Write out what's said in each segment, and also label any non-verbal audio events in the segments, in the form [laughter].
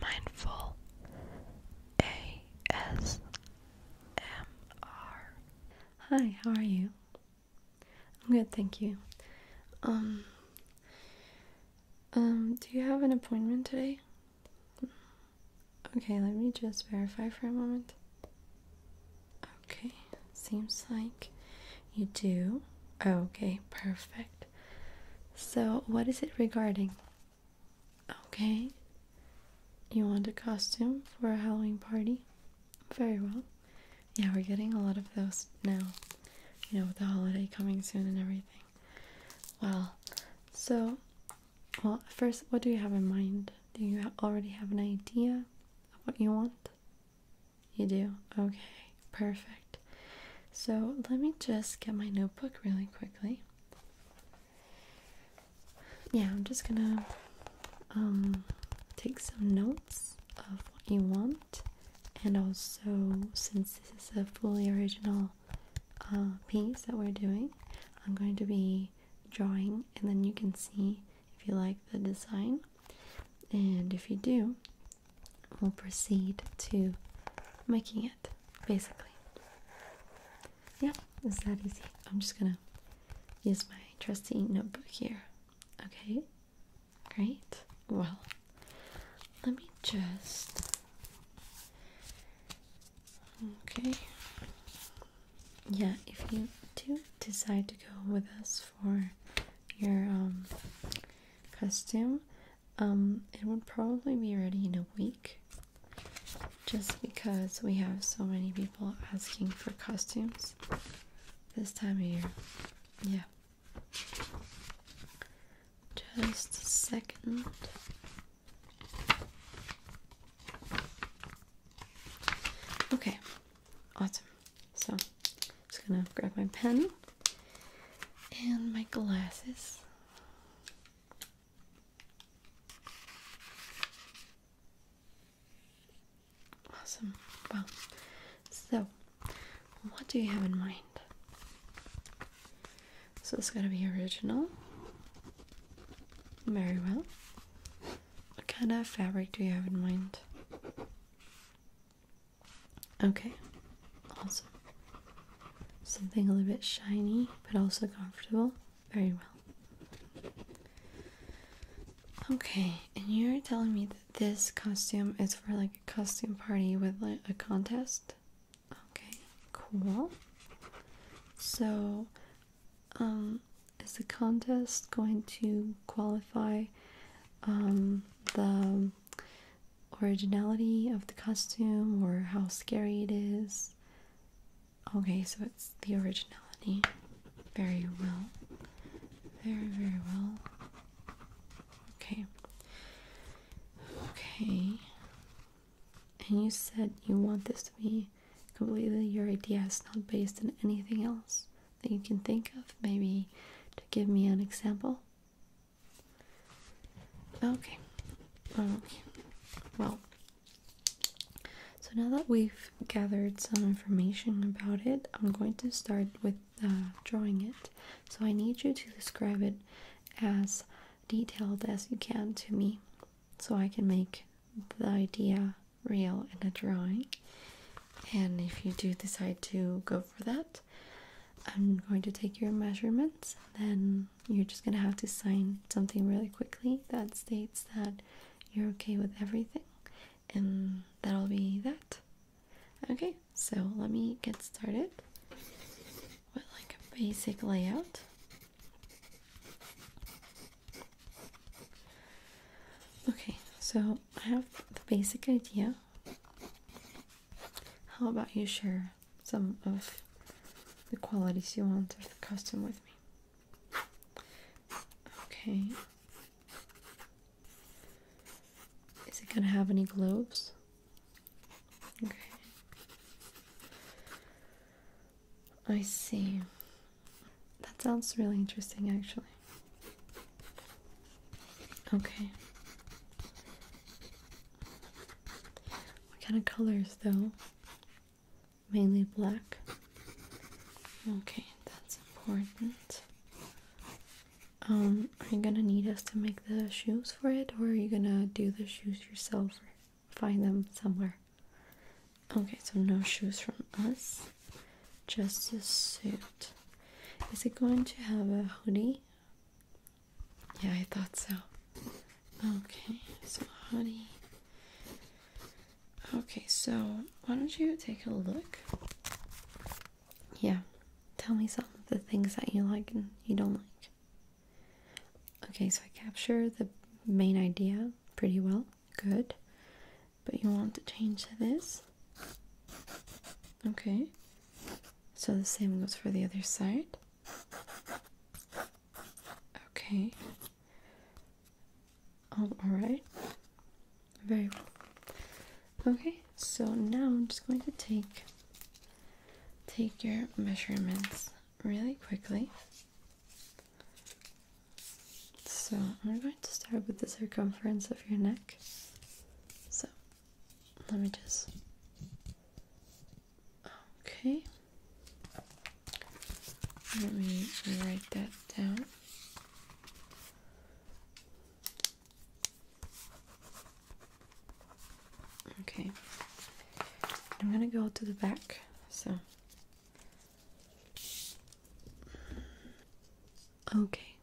mindful ASMR. Hi, how are you? I'm good, thank you. Um, um, do you have an appointment today? Okay, let me just verify for a moment. Okay, seems like you do. Okay, perfect. So, what is it regarding? Okay. You want a costume for a Halloween party? Very well. Yeah, we're getting a lot of those now. You know, with the holiday coming soon and everything. Well, so, well, first, what do you have in mind? Do you already have an idea of what you want? You do? Okay, perfect. So let me just get my notebook really quickly. Yeah, I'm just gonna um, take some notes of what you want, and also since this is a fully original uh, piece that we're doing, I'm going to be drawing, and then you can see if you like the design. And if you do, we'll proceed to making it basically. Yeah, it's that easy. I'm just gonna use my trusty notebook here. Okay, great. Well, let me just. Okay. Yeah, if you do decide to go with us for your um, costume, um, it would probably be ready in a week just because we have so many people asking for costumes this time of year. Yeah. Just a second. Okay, awesome. So, just gonna grab my pen and my glasses. Awesome. Wow. So, what do you have in mind? So, it's gonna be original. Very well. What kind of fabric do you have in mind? Okay, awesome. Something a little bit shiny, but also comfortable. Very well. Okay, and you're telling me that this costume is for like a costume party with like a contest? Okay, cool. So, um, is the contest going to qualify um, the originality of the costume or how scary it is. Okay, so it's the originality. Very well. Very, very well. Okay. Okay. And you said you want this to be completely your idea. It's not based on anything else that you can think of. Maybe to give me an example. Okay. Well, so now that we've gathered some information about it, I'm going to start with uh, drawing it. So I need you to describe it as detailed as you can to me so I can make the idea real in a drawing. And if you do decide to go for that, I'm going to take your measurements, then you're just going to have to sign something really quickly that states that you're okay with everything, and that'll be that. Okay, so let me get started with like a basic layout. Okay, so I have the basic idea how about you share some of the qualities you want of the costume with me? Okay. Is it gonna have any globes? Okay. I see. That sounds really interesting, actually. Okay. What kind of colors though? Mainly black. Okay, that's important. Um, are you gonna need us to make the shoes for it or are you gonna do the shoes yourself or find them somewhere? Okay, so no shoes from us just a suit. Is it going to have a hoodie? Yeah, I thought so. Okay, so hoodie. Okay, so why don't you take a look? Yeah, tell me some of the things that you like and you don't like. Okay, so I capture the main idea pretty well. Good. But you want to change this? Okay, so the same goes for the other side. Okay, all, um, all right, very well. Okay, so now I'm just going to take take your measurements really quickly. So I'm going to start with the circumference of your neck. So let me just okay let me write that down okay i'm gonna go to the back so okay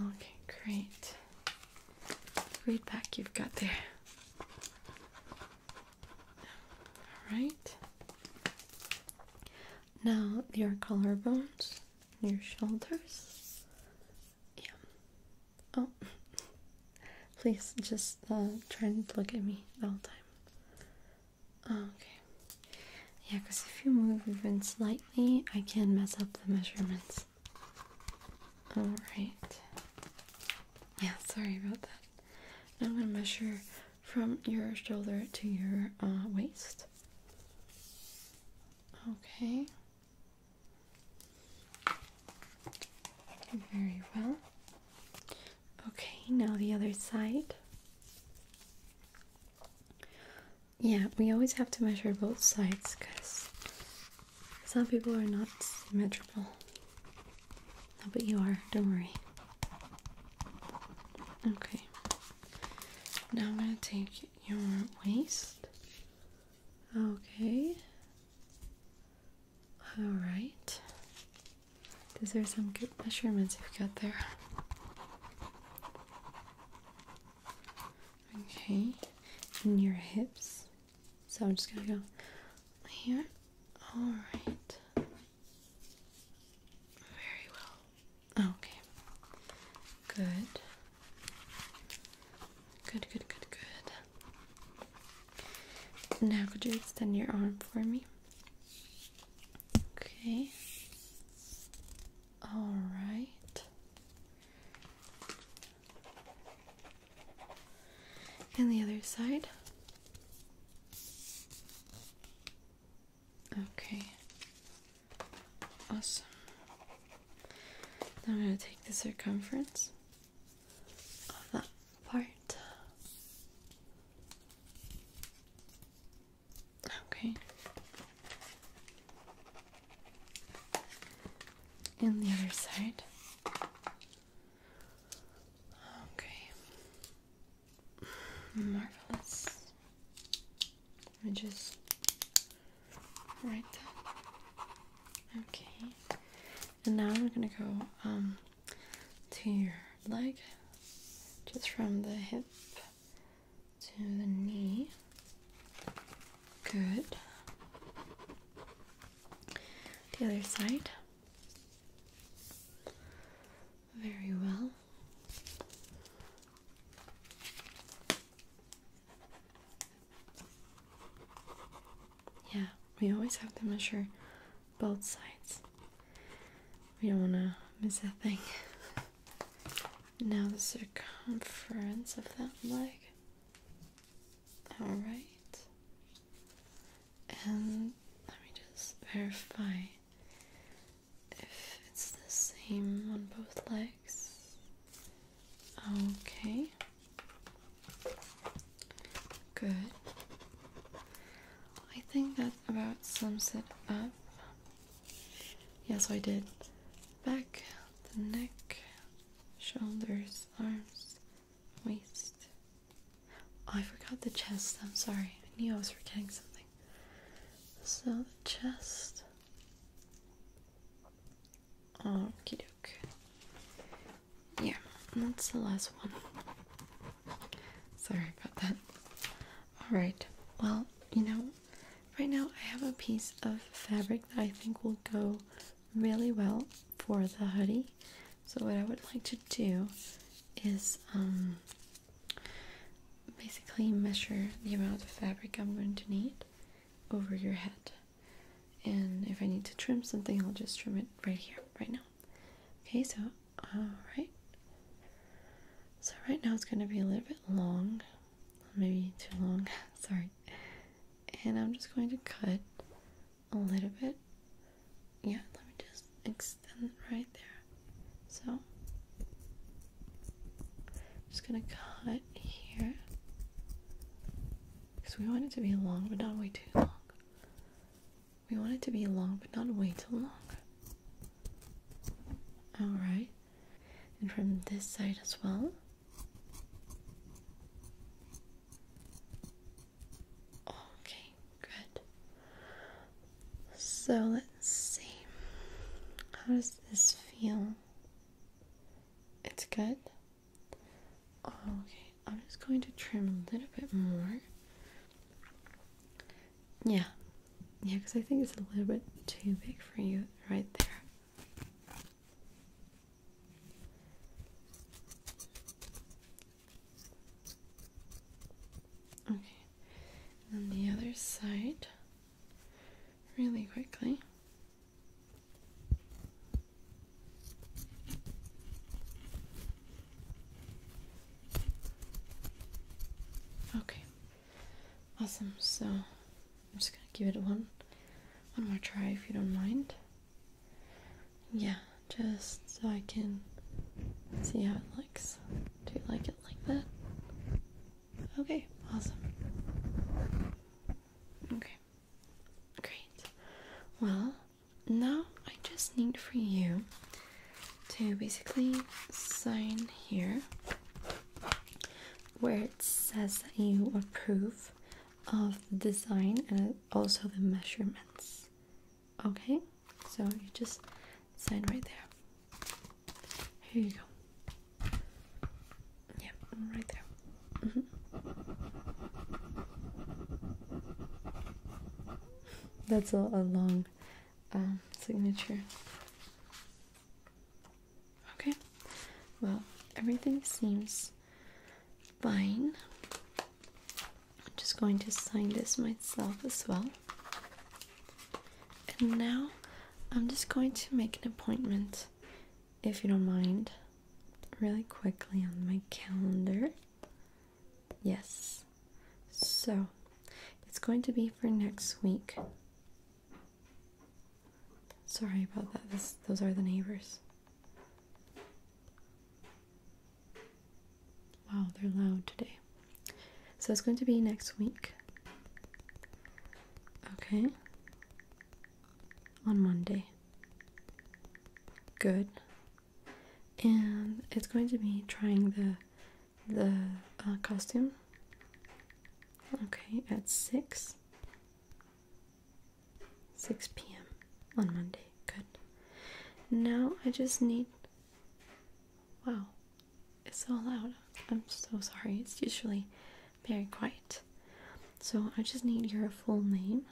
Okay, great. Read back you've got there. All right. Now your collarbones, your shoulders. Yeah. Oh, [laughs] please just uh, try and look at me all the time. Oh, okay. Yeah, because if you move even slightly, I can mess up the measurements. Alright. Yeah, sorry about that. Now I'm going to measure from your shoulder to your uh, waist. Okay. Very well. Okay, now the other side. Yeah, we always have to measure both sides because some people are not symmetrical. No, but you are, don't worry. Okay, now I'm gonna take your waist. Okay, all right. These are some good measurements you've got there. Okay, and your hips. So I'm just gonna go here. Alright. Very well. Okay. Good. Good, good, good, good. Now, could you extend your arm for me? Okay. All right. And the other side. Okay. Awesome. Now I'm going to take the circumference of that part. Okay. And the other side. Okay. Marvelous. I just write that. Okay. And now we're gonna go um to your leg, just from the hip to the knee. Good. The other side. Very well. Yeah, we always have to measure both sides. We don't want to miss a thing. Now the circumference of that leg. Alright. And let me just verify if it's the same on both legs. Okay. Good. I think that about sums it up. Yeah, so I did back, the neck, shoulders, arms, waist. I forgot the chest. I'm sorry. I knew I was forgetting something. So the chest. okay, doke yeah, that's the last one. Sorry about that. Alright, well, you know, right now I have a piece of fabric that I think will go really well for the hoodie. So, what I would like to do is um, basically measure the amount of fabric I'm going to need over your head. And if I need to trim something, I'll just trim it right here, right now. Okay, so alright. So right now it's gonna be a little bit long. Maybe too long, [laughs] sorry. And I'm just going to cut a little bit. Yeah, let me just extend right there. So I'm just gonna cut here. Because we want it to be long, but not way too long. We want it to be long, but not way too long. Alright. And from this side as well. Okay, good. So let's see. How does this feel? It's good. Okay, I'm just going to trim a little bit more. Yeah, yeah, because I think it's a little bit too big for you right there. Okay, and the other side, really quickly. Okay. Awesome. So I'm just gonna give it one one more try if you don't mind. Yeah, just so I can see how it looks. Do you like it like that? Okay, awesome. Okay. Great. Well, now I just need for you to basically sign here where it says that you approve of the design and also the measurements. Okay, so you just sign right there. Here you go. Yep, right there. Mm-hmm. That's a, long um, signature. Okay, well, everything seems fine. I'm just going to sign this myself as well. And now I'm just going to make an appointment, if you don't mind, really quickly on my calendar. Yes. So it's going to be for next week. Sorry about that. those are the neighbors. Wow, they're loud today. So it's going to be next week. Okay. On Monday. Good and it's going to be trying the the uh, costume okay at 6 6 p.m on monday good now i just need wow it's so loud i'm so sorry it's usually very quiet so i just need your full name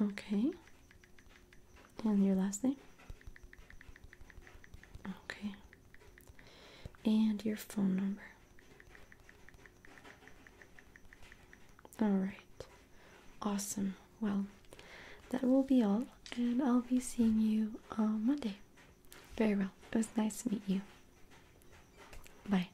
Okay. And your last name? Okay. And your phone number. All right. Awesome. Well, that will be all, and I'll be seeing you on uh, Monday. Very well. It was nice to meet you. Bye.